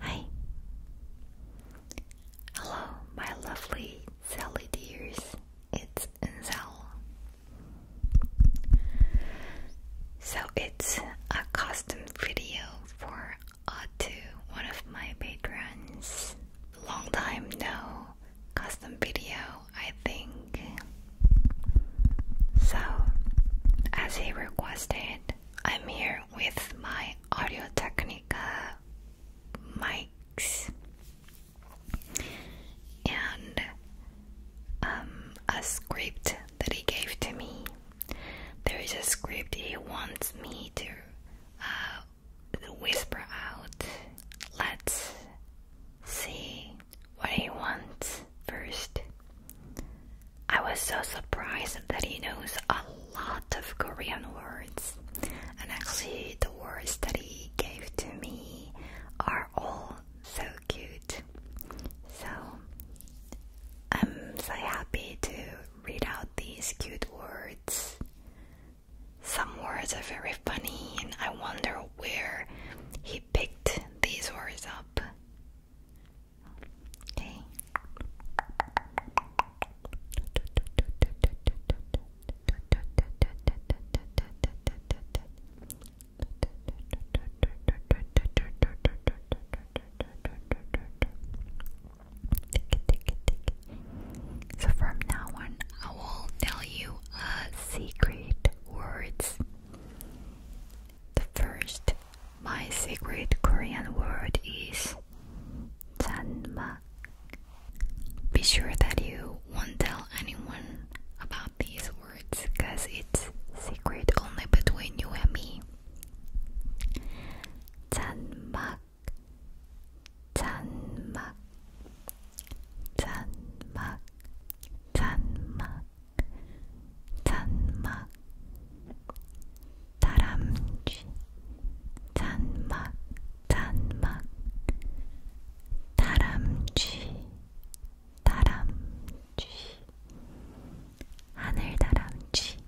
Hi. Hello, my lovely Sally dears. It's Ansel. So it's a custom video for uh, to one of my patrons. Long time no custom video, I think. So, as he requested, I'm here with my Audio Technica mics and um, a script that he gave to me. There is a script he wants me to uh, whisper out, let's see what he wants first. I was so surprised that he knows a lot of Korean words, and actually, the words that he gave to me are all so cute. So, I'm so happy to read out these cute words. Some words are very funny, and I wonder where he picked these words up. So from now on, I will tell you a uh, secret words. The first, my secret Korean word is 잔막. Be sure that you won't tell anyone about these words, cause it's secret only between you and me. 잔막. 잔막 잔막 잔막 잔막 다람쥐 잔막 잔막 다람쥐 다람쥐 하늘다람쥐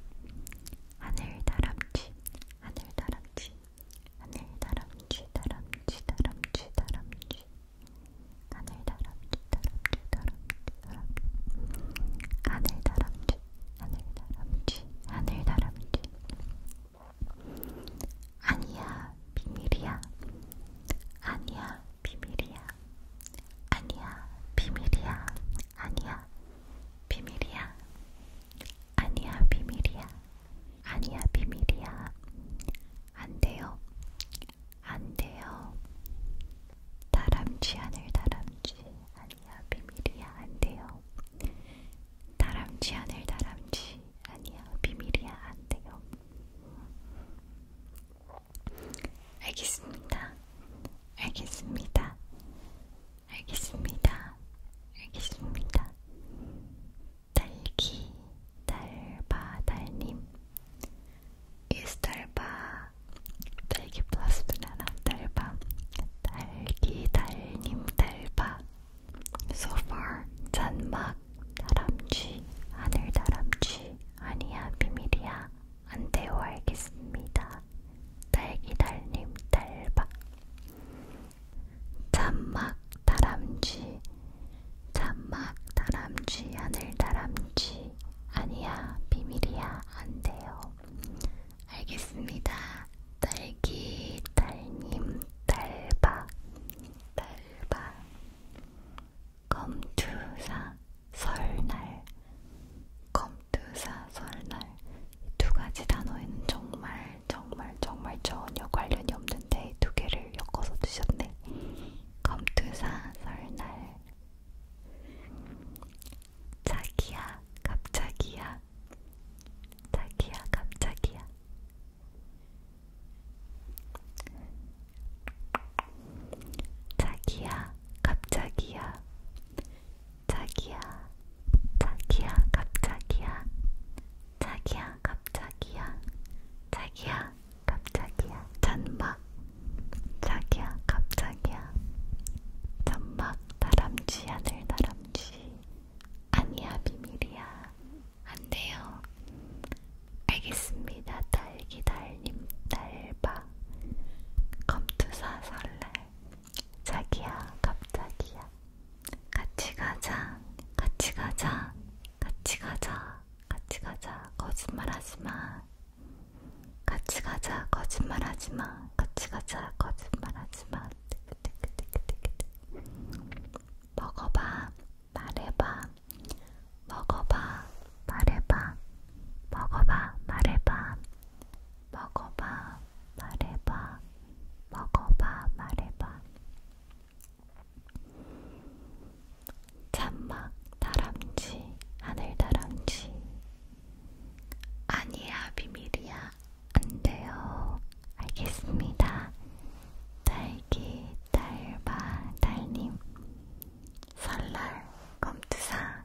하늘다람쥐 하늘다람쥐 하늘다람쥐 다람쥐 다람쥐 다람쥐 하늘다람쥐 다람쥐 다람쥐 하늘다람쥐 하늘다람쥐 하늘다람쥐 아니야 비밀이야 아니야 비밀이야 아니야 비밀이야 아니야, 비밀이야. 아니야, 비밀이야. 아니야, 비밀이야. 안 돼요. 안 돼요. 다람쥐 하늘 다람쥐. 아니야, 비밀이야. 안 돼요. 다람쥐 하늘 다람쥐. 아니야, 비밀이야. 안 돼요. 알겠습니다. 알겠습니다. 알겠습니다. 알겠습니다. 딸기 달바달님 이스달바 딸기 플러스 바나나 달바 딸기 달님 달바 So far 잔막 다람쥐 하늘 다람쥐 아니야 비밀이야 안돼요 알겠습니다. 딸기달님 딸박 잔막 다람쥐 잔막 다람쥐 하늘 다람쥐 아니야 비밀이야 안 돼요 알겠습니다 딸기달님 딸박 딸박 검투사 설날 검투사 설날 이 두 가지 단어에는 정말 정말 정말 전혀 관련이 없는데 두 개를 엮어서 드셨네. 검투사 설날 자기야 갑자기야 자기야 갑자기야 자기야 갑자기야 자기야, 자기야, 갑자기야, 자기야, 갑자기야, 자기야, 갑자기야, 잔막, 자기야, 갑자기야, 잔막, 다람쥐, 하늘 다람쥐, 아니야, 비밀이야, 안 돼요. 알겠습니다. 딸기 달님, 딸바, 검투사 설날, 자기야, 갑자기야. 같이 가자, 같이 가자, 같이 가자, 같이 가자. 거짓말하지 마. 같이 가자, 거짓말하지 마. 같이 가자, 거짓말하지 마. 먹어봐, 말해봐. 먹어봐, 말해봐. 먹어봐, 말해봐. 먹어봐, 말해봐, 먹어봐, 말해봐. 잔막 다람쥐, 하늘 다람쥐. 아니야, 비밀이야. 안 돼요. 알겠습니다. 딸기, 딸바, 딸님. 설날, 검투사,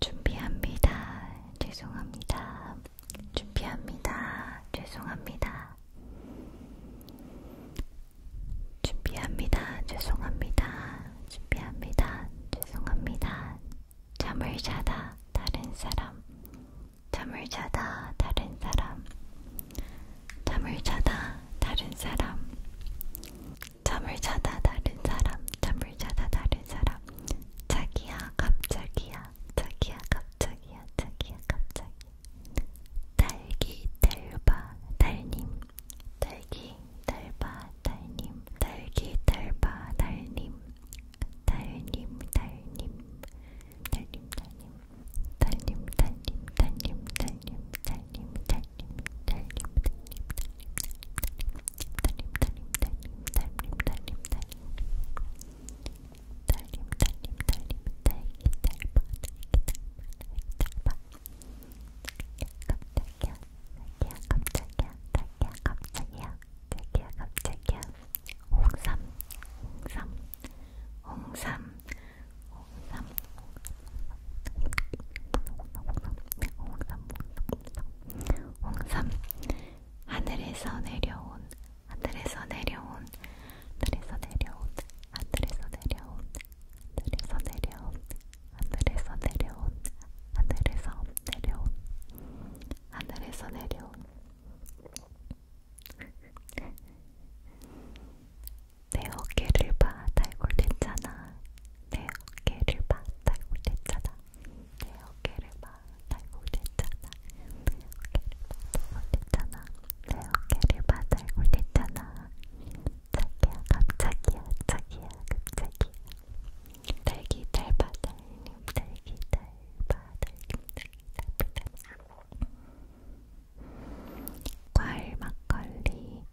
준비합니다. 죄송합니다. 준비합니다. 죄송합니다. 준비합니다. 죄송합니다. 준비합니다. 죄송합니다. 잠을 자다 다른 사람. 잠을 자다 다른 사람. 잠을 자다 다른 사람. 잠을 자다 다른 사람 잠을 자다 다른 사람 자기야 갑자기야 자기야 갑자기야 자기야 갑자기 딸기 딸바 달님 딸기 딸바 달님 딸기 딸바 달님 달님 달님 달님 달님 달님 달님 달님 달님 달님 달님, 달님, 달님, 달님, 달님, 달님, 달님, 달님, 달님, 달님, 달님, 달님, 달님, 달기 달바, 달기 달바, 달기 달바. 깜짝이야, 깜짝이야, 깜짝이야, 깜짝이야, 깜짝이야, 깜짝이야. 홍삼, 홍삼, 홍삼, 홍삼, 홍삼, 홍삼, 홍삼, 하늘에서 내려온, 하늘에서 내려온, 하늘에서 내려온, 하늘에서 내려온, 하늘에서 내려온, 하늘에서 내려온, 하늘에서 내려온, 하늘에서 내려온. 내 어깨를 봐, 달골 됐잖아. 내 어깨를 막 달고 댔잖아. 내 어깨를 막 달고 댔잖아. 내 어깨를 막 달고 댔잖아. 내 어깨를 막 달고 댔잖아. 자기야 갑자기야 자기야 갑자기. 달기 달바 달님 달기 달바 달님 달기 달바 달. 과일 막걸리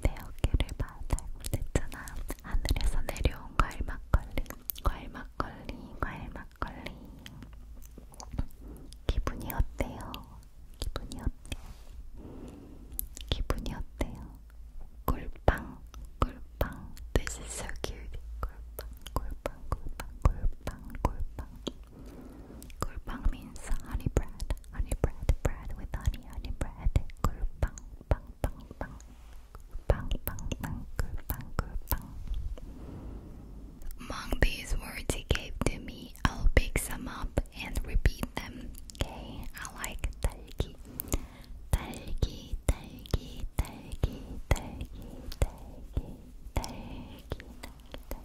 내 어깨를 봐 잘못했잖아 하늘에서 내려온 과일 막걸리 과일 막걸리 과일 막걸리 기분이 어때요? 기분이 어때요? 기분이 어때요? 꿀빵 꿀빵 This is so cute 꿀빵 꿀빵 꿀빵 꿀빵 꿀빵 Gurbang means honey bread, honey bread, bread with honey, honey bread. Gurbang, bang, bang, bang. Gurbang, bang, bang, gurbang, gurbang. Among these words he gave to me, I'll pick some up and repeat them. Okay, I like talgi. Talgi, talgi, talgi, talgi, talgi, talgi, talgi, talgi,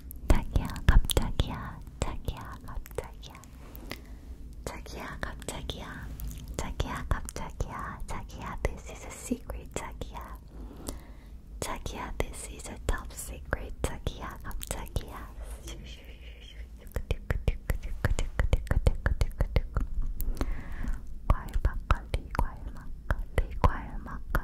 자기야 갑자기야 자기야 갑자기야 자기야 갑자기야 자기야 갑자기야 자기야 this is a secret 자기야 자기야 this is a top secret 자기야 갑자기야 과일 막걸리 과일 막걸리 과일 막걸리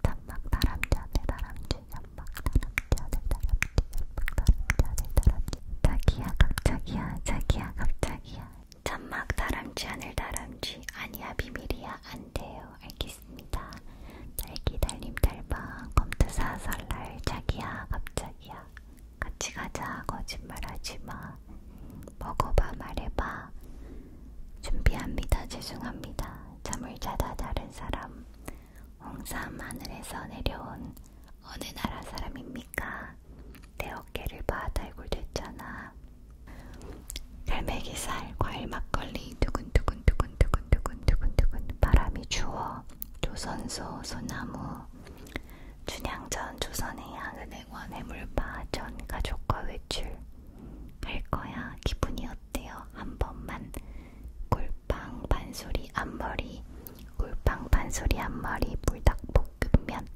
단막 다람쥐 아들 다람쥐 연막 다람쥐 아들 다람쥐 연막 다람쥐 아들 다람쥐 자기야 갑자기야 자기야 갑자기야 잔막 다람쥐 아들 다람쥐 아니야 비밀이야 안 돼요 알겠습니다 딸기 달림 달방 검투사 설날 자기야 갑자기야 같이 가자 거짓말하지마 먹어봐 말해봐 준비합니다. 죄송합니다. 잠을 자다 다른 사람. 홍삼 하늘에서 내려온 어느 나라 사람입니까? 내 어깨를 봐 달굴됐잖아. 갈매기살, 과일 막걸리, 두근두근두근두근두근두근두근 바람이 주워, 조선소, 소나무, 준양전, 조선해양, 은행원, 해물파, 전 가족과 외출. 갈 거야, 기분이 어때? 같아요. 한 번만 꿀빵 반소리 앞머리, 꿀빵 반소리 앞머리, 불닭볶음면,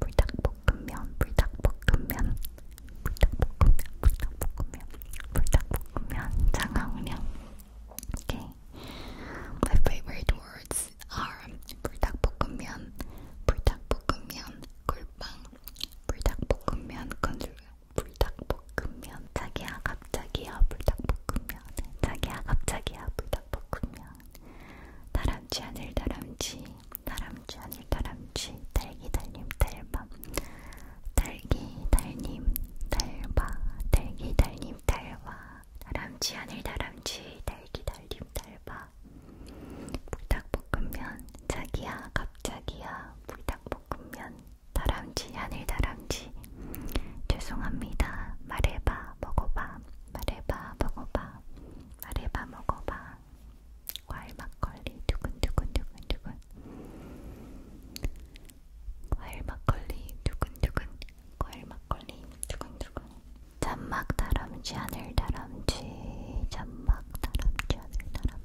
불닭볶음면, 불닭볶음면, 불닭볶음면, 불닭볶음면, 불닭볶음면, 장항면. Okay. My favorite words are 불닭볶음면, 불닭볶음면, 꿀빵, 불닭볶음면, 건조. 불닭볶음면 자기야 갑자기야 불닭볶음면 자기야 갑자기야 불닭볶음면 다람쥐 하늘 다람쥐 다람쥐 하늘 다람쥐 달기 달님 달밤 달기 달님 달바 달기 달님 달바 다람쥐 하늘 다람쥐 달기 달님 달바 불닭볶음면 자기야 갑 깜짝이야 불닭볶음면 다람쥐 하늘 다람쥐 죄송합니다 말해봐 먹어봐 말해봐 먹어봐 말해봐 먹어봐 과일 막걸리 두근두근두근두근 과일 막걸리 두근두근 과일 막걸리 두근두근 잔막 다람쥐 하늘 다람쥐 잔막 다람쥐 하늘 다람쥐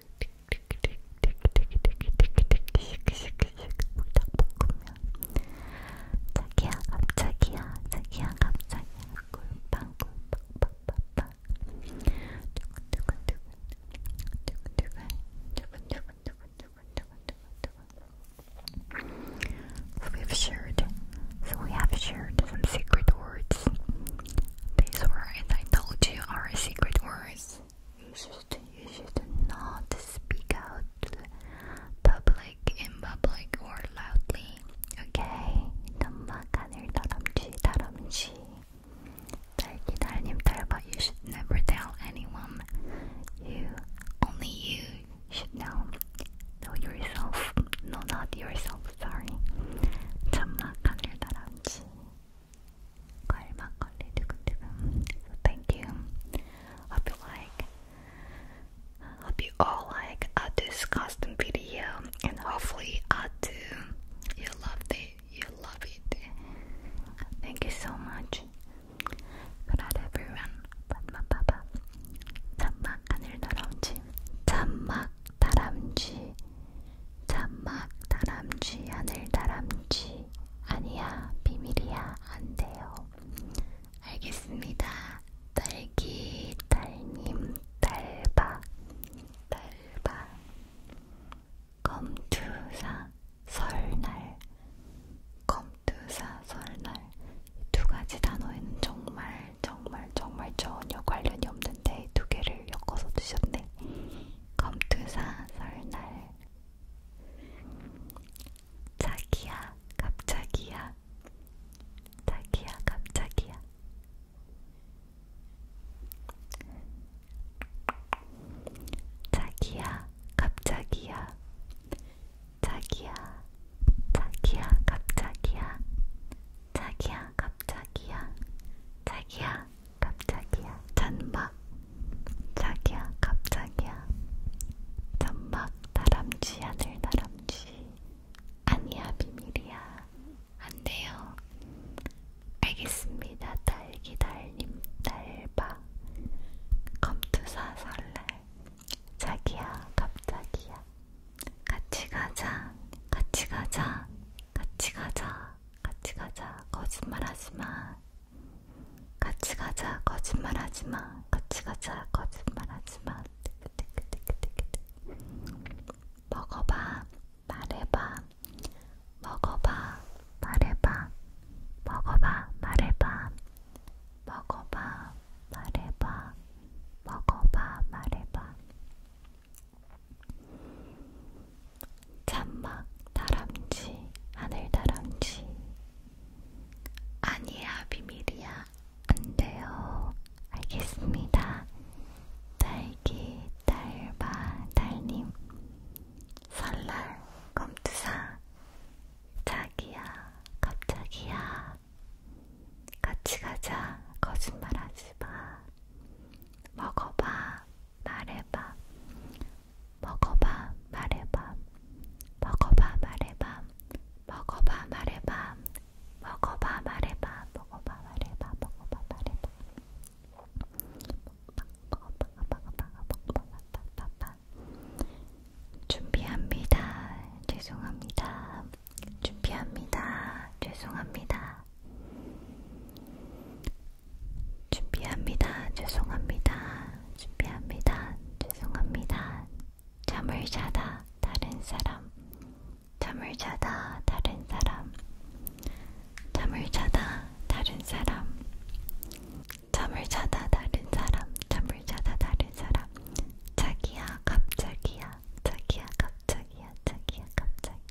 자기야 두근두근두근두근두근두근두근 We've shared so we have shared some secret words these were as I told you are secret words you should you should not speak out public in public or loudly. Okay? You should never tell anyone. You only you should know. Know yourself. No, not yourself. Sorry. So thank you. Hope you like. Hope you all like this custom video, and hopefully I do. You loved it. You love it. Thank you so much. Good night, everyone. 밤마바밤 잔막 하늘 다람쥐 잔막 다람쥐 잔막 다람쥐 하늘 다람쥐 아니야 비밀이야 안 돼요. 알겠습니다. 딸기 딸님 딸바 딸바 검투사 설날 검투사 설날 두 가지 단어에는 정말 정말 정말 전혀 관련이 없는데 두 개를 엮어서 드셨네. 검투사 설날 자기야 갑자기야 자기야 갑자기야 자기야 갑자기야 자기야 자기야 갑자기야 자기야 갑자기야 자기야 갑자기야 잔막 자기야 갑자기야 잔막 다람쥐 하늘 다람쥐 아니야 비밀이야 안돼요 알겠습니다 딸기 달님 달바 검투사 설날 자기야 갑자기야 같이 가자 같이 가자 같이 가자 같이 가자 거짓말하지마 같이 가자 거짓말하지마 같이 가자 거짓말하지마 먹어봐 말해봐 먹어봐 말해봐 먹어봐 말해봐 먹어봐 말해봐 먹어봐 말해봐 잔막 다람쥐, 하늘 다람쥐. 아니야, 비밀이야. 안 돼요. 알겠습니다. 딸기, 딸바, 딸님. 설날, 검투사. 자기야, 갑자기야. 같이 가자. 거짓말 하지 마. 먹어봐. 말해봐 먹어봐 말해봐 먹어봐 말해봐 먹어봐 말해봐 먹어봐 말해봐 먹어봐 말해봐 먹어봐 말해봐 먹어봐 먹어봐 먹어봐 먹어봐 준비합니다 죄송합니다 준비합니다 죄송합니다 준비합니다. 죄송합니다. 준비합니다. 죄송합니다. 잠을 자다 다른 사람. 잠을 자다 다른 사람. 잠을 자다 다른 사람. 잠을 자다 다른 사람. 잠을 자다 다른 사람. 자기야 갑자기야. 자기야 갑자기야. 자기야 갑자기.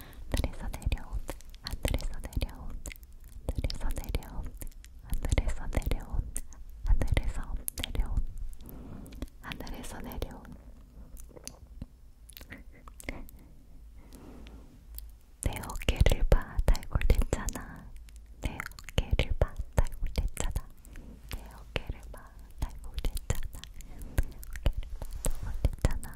하늘에서 내려온 하늘에서 내려온 하늘에서 내려온 하늘에서 내려온 하늘에서 내려온 하늘에서 내려온 내 어깨를 봐 달골댔잖아 내 어깨를 봐 달골댔잖아 내 어깨를 봐 달골댔잖아 내 어깨를 봐 달골댔잖아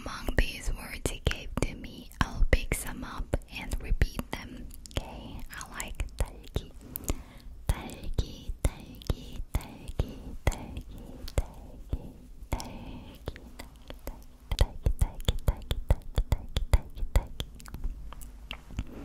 Among these words he gave to me, I'll pick some up and repeat them. Okay, I like 달기 달기 달기 달기 달기 달기 달기 달기 달기 달기 달기 달기 달기 달기 달기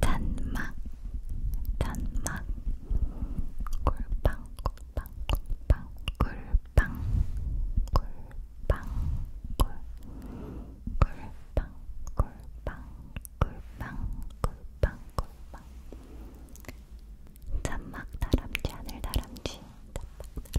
잔막, 잔막, 꿀빵, 꿀빵, 꿀빵, 꿀빵, 꿀빵, 꿀, 꿀빵, 꿀빵, 꿀빵, 꿀빵, 꿀빵. 잔막 다람쥐, 하늘 다람쥐, 잔막 다람쥐,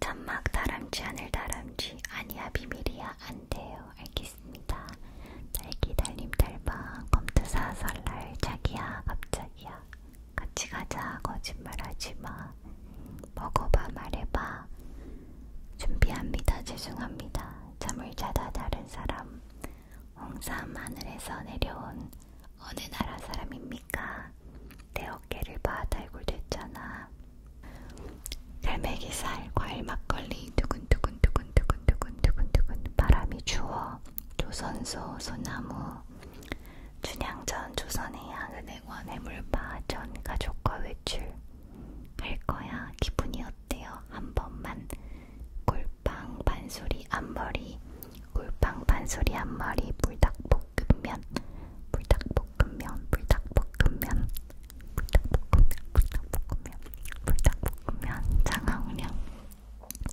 천막 다람쥐 하늘 다람쥐 아니야 비밀이야 안 돼요 알겠습니다 딸기 달님 달방 검투사 설날 자기야 갑자기야 같이 가자 거짓말하지마 먹어봐 말해봐 준비합니다 죄송합니다 잠을 자다 다른 사람 홍삼 하늘에서 내려온 어느 나라 사람입니까? 내 어깨를 봐 달굴도 했잖아. 갈매기 살, 과일 막걸리, 두근두근두근두근두근두근두근 바람이 주워, 조선소, 소나무, 춘향전, 조선해양, 은행원, 해물파, 전 가족과 외출 할 거야. 기분이 어때요? 한 번만. 꿀빵 반소리 앞머리, 꿀빵 반소리 앞머리, 불닭볶음면. 불닭볶음면, 불닭볶음면, 불닭볶음면, 불닭볶음면, 불닭볶음면, 장하운영.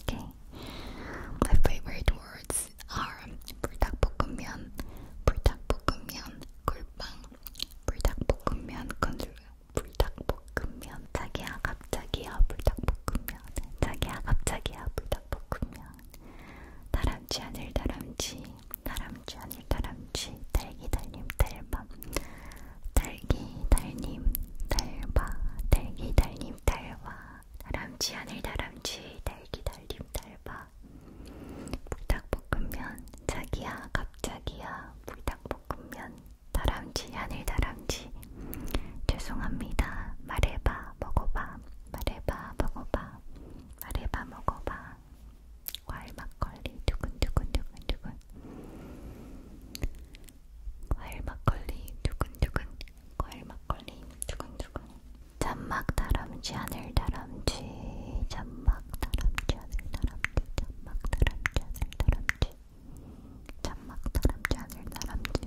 Okay. My favorite words are 불닭볶음면, 불닭볶음면, 꿀빵, 불닭볶음면, 건조, 불닭볶음면. 자기야 갑자기야 불닭볶음면. 자기야 갑자기야 불닭볶음면. 다람쥐 하늘 다람쥐 다람쥐 하늘 다람쥐 달기 달님 달밤 달기 달님 달바 달기 달님 달바 다람쥐 하늘 다람쥐 달기 달님 달바 불닭볶음면 자기야 갑자기야 불닭볶음면 다람쥐 하늘 다람쥐 죄송합니다 말해봐 먹어봐 말해봐 먹어봐 먹어봐. 말해봐 먹어봐. 과일 막걸리 두근두근두근두근. 과일 막걸리 두근두근. 과일 막걸리 두근두근. 잔막 다람쥐 하늘 다람쥐. 잔막 다람쥐 하늘 다람쥐. 잔막 다람쥐 하늘 다람쥐. 잔막 다람쥐 하늘 다람쥐.